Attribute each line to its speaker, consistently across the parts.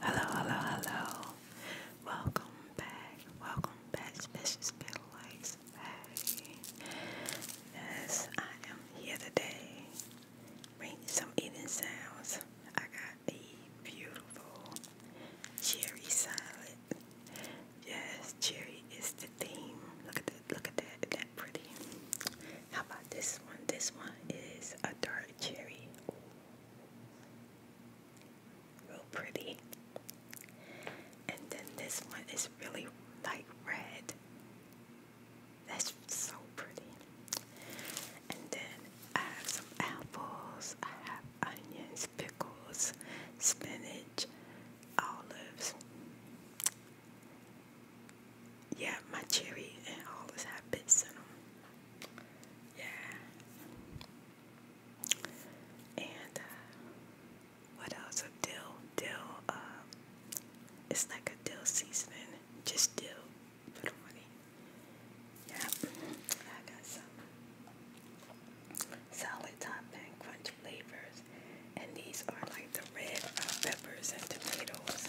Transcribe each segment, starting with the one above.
Speaker 1: Hello, hello, hello. Welcome back. Welcome back. Special Spill Lights. Hey. Yes, I am here today. Bring some eating sounds. I got a beautiful cherry salad. Yes, cherry is the theme. Look at that. Look at that. That pretty. How about this one? This one is a dark cherry. Ooh, Real pretty. And then this one is really like red. That's so pretty. And then I have some apples, I have onions, pickles, spinach, olives. Yeah, my cherry and olives have bits in them yeah. And uh, what else? A dill, dill. Uh, it's like a dill seasoning, just dill. Yeah, I got some solid topping, crunch flavors, and these are like the red uh, peppers and tomatoes.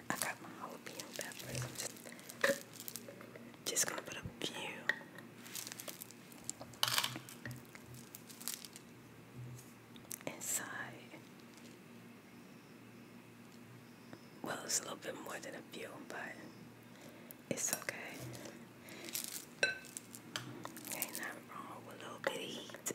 Speaker 1: I got my jalapeno just, just gonna put a few. Inside, well, it's a little bit more than a few, but it's okay. Ain't nothing wrong with a little bit of heat.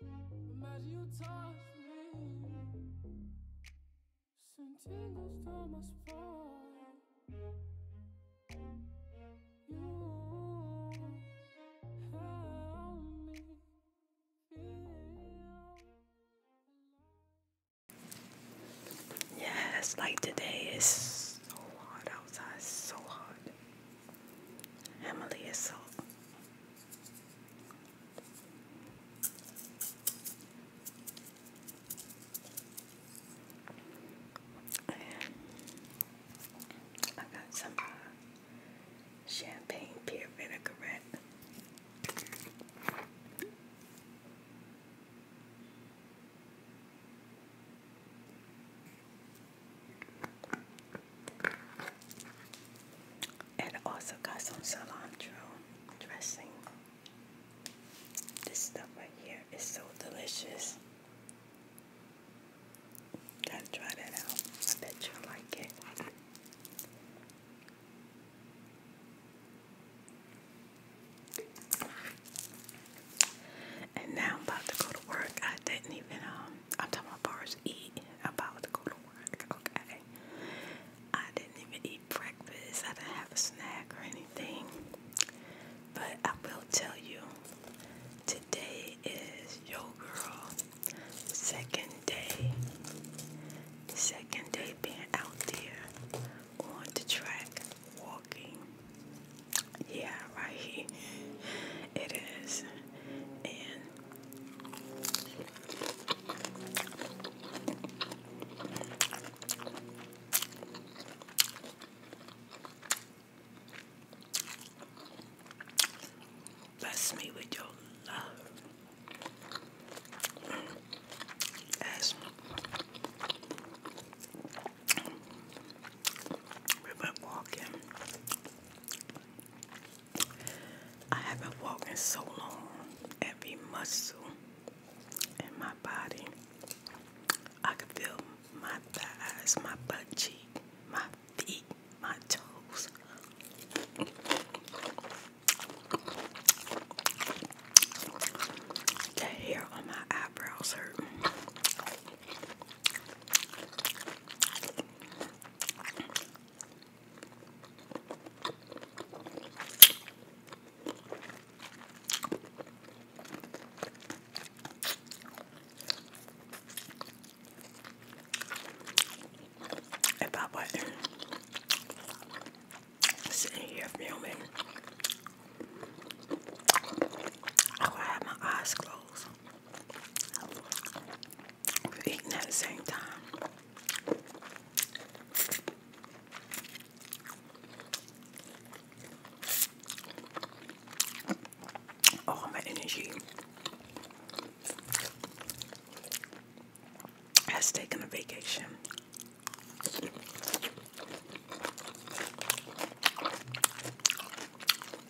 Speaker 1: Imagine you touch me. Yes, like today is so hot outside, so hot. Emily is so I got some uh, champagne pear vinaigrette. And also got some cilantro dressing. This stuff right here is so delicious. Gotta try that out. I bet you'll like it. And now I'm about to go to work. I didn't even um I'm talking about bars. eat. I'm about to go to work. Okay. I didn't even eat breakfast. I didn't have a snack or anything. But I will tell you, today is Yo Girl second day. Second day being out there on the track walking. Yeah, right. here. It is. And Bless me with your love. As we went walking, I haven't walked in so long. Every muscle in my body. I can feel my thighs, my butt cheek, my feet, my toes. The hair on my eyebrows hurt. If I was sitting here filming, I would have my eyes closed eating at the same time. All my energy has taken a vacation.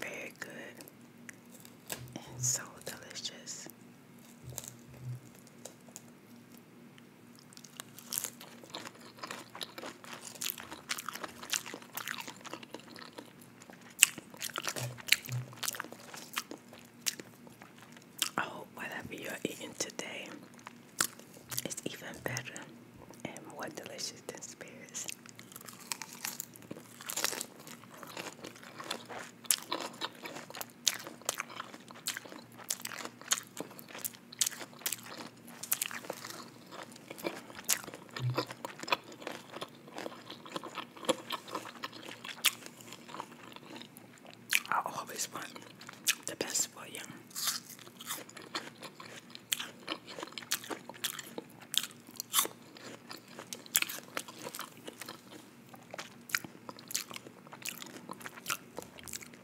Speaker 1: Very good and so delicious. I hope whatever you're eating today is even better and more delicious than spirits. I will always want the best for you.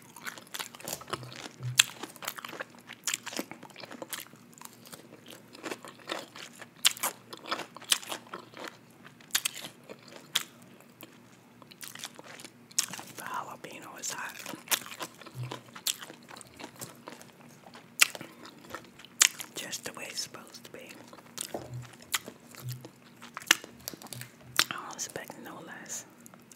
Speaker 1: The jalapeno is hot. Just the way it's supposed to be. I was expecting no less.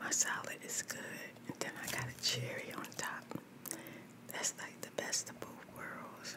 Speaker 1: My salad is good, and then I got a cherry on top. That's like the best of both worlds.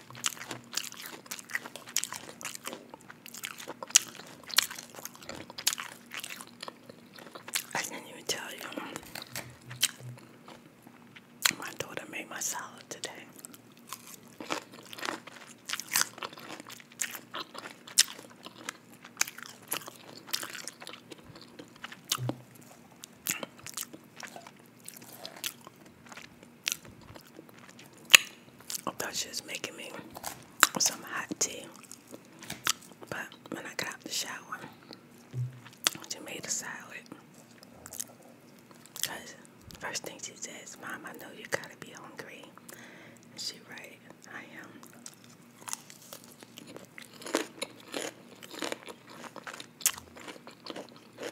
Speaker 1: I didn't even tell you. My daughter made my salad today. I thought she was making me some hot tea, but when I got out the shower, she made a salad. Cause first thing she says, "Mom, I know you gotta be hungry," Is she right, I am.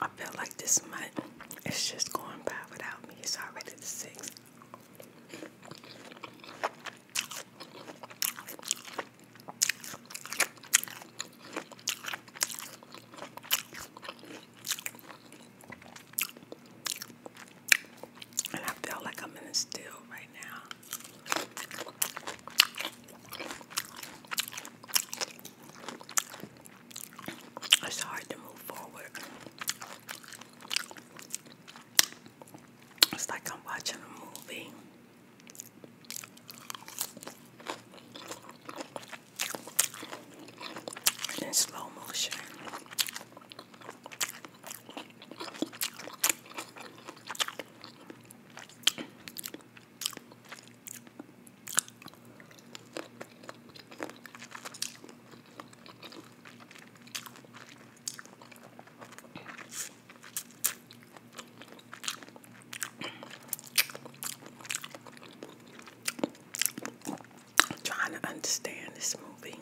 Speaker 1: I feel like this month it's just going by without me. It's already the sixth. And I feel like I'm in a still right now. It's hard to move forward. It's like I'm watching a movie. In slow motion. I'm trying to understand this movie.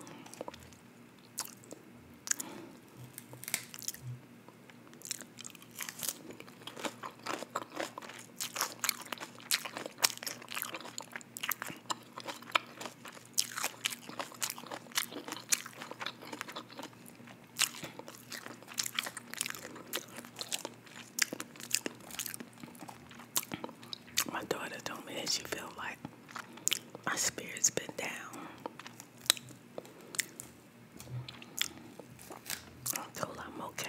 Speaker 1: My daughter told me that she felt like my spirit's been down until I'm okay.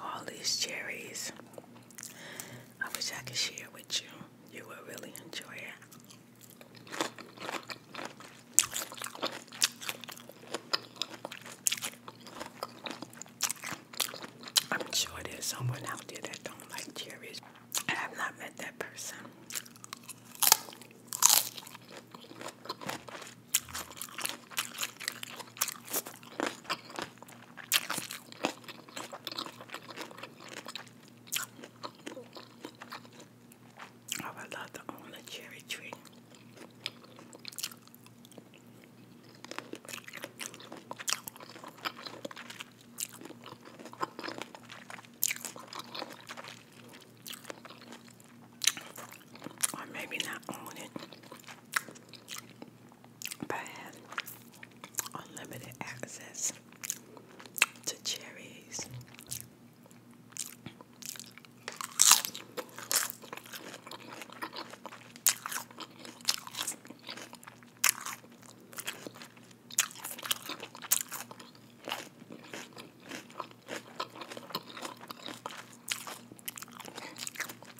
Speaker 1: All these cherries. I wish I could share with you. You will really enjoy it. I'm sure there's someone out there that don't like cherries. I have not met that person. Oh, I love the orange cherry tree. Or maybe not own it, but have unlimited access to cherries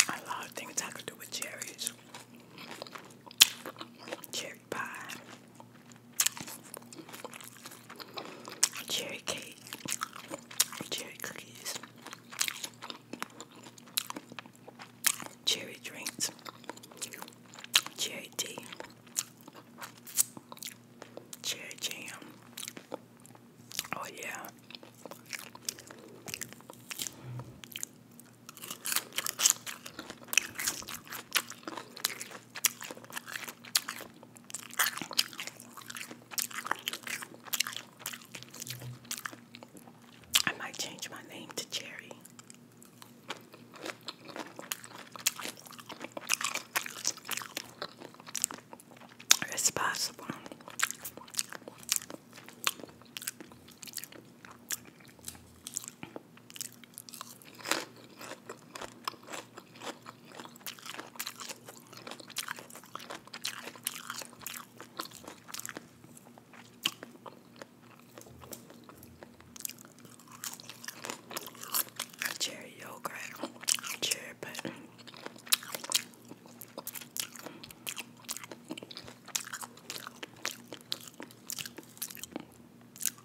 Speaker 1: a lot of things I could do with cherries. Cherry pie cherry cake, cherry cookies, cherry drinks, cherry tea, cherry jam. Oh, yeah. I might change my name to Cherry. It's possible. Cherry yogurt, cherry pudding.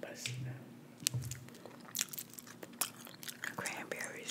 Speaker 1: But see Cranberries.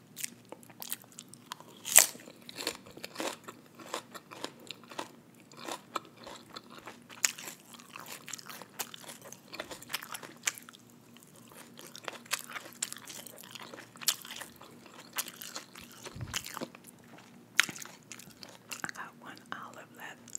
Speaker 1: I got one olive left.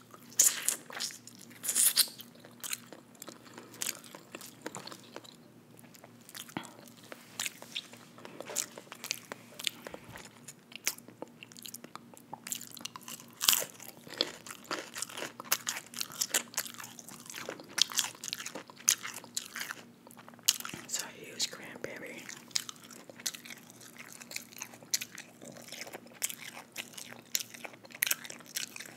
Speaker 1: It's a huge cranberry.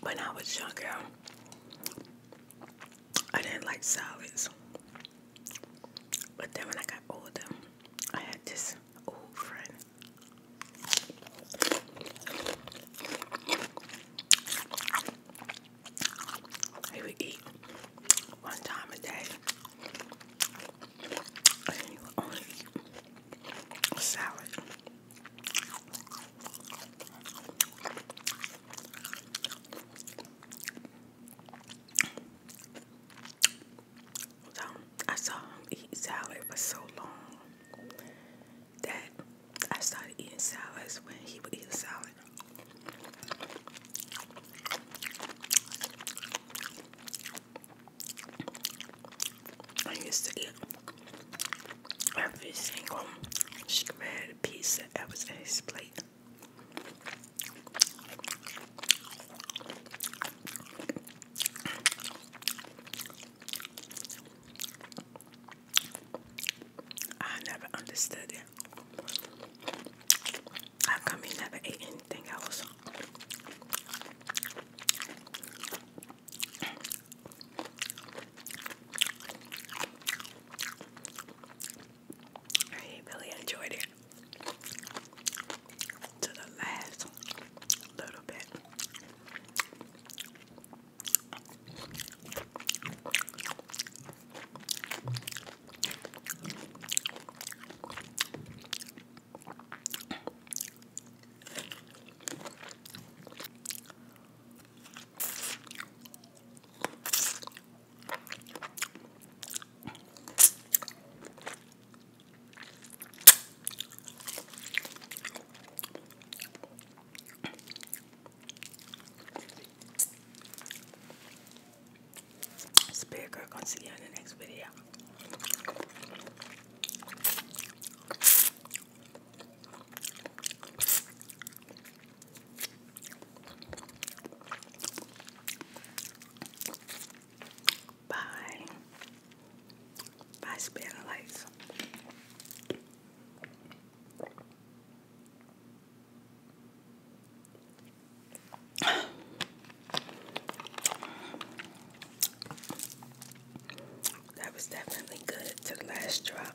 Speaker 1: When I was younger, I didn't like salads. But then when I got older, I had this old friend. He would eat one time a day. And he would only eat salad. So I saw him eat salad for so long that I started eating salads when he would eat salad. I used to eat every single shred piece that was in his plate. I never understood it. How come he never ate anything else? I really enjoyed it to the last little bit. Spirit girl, gonna see you in the next video by by spanner that was definitely good to the last drop.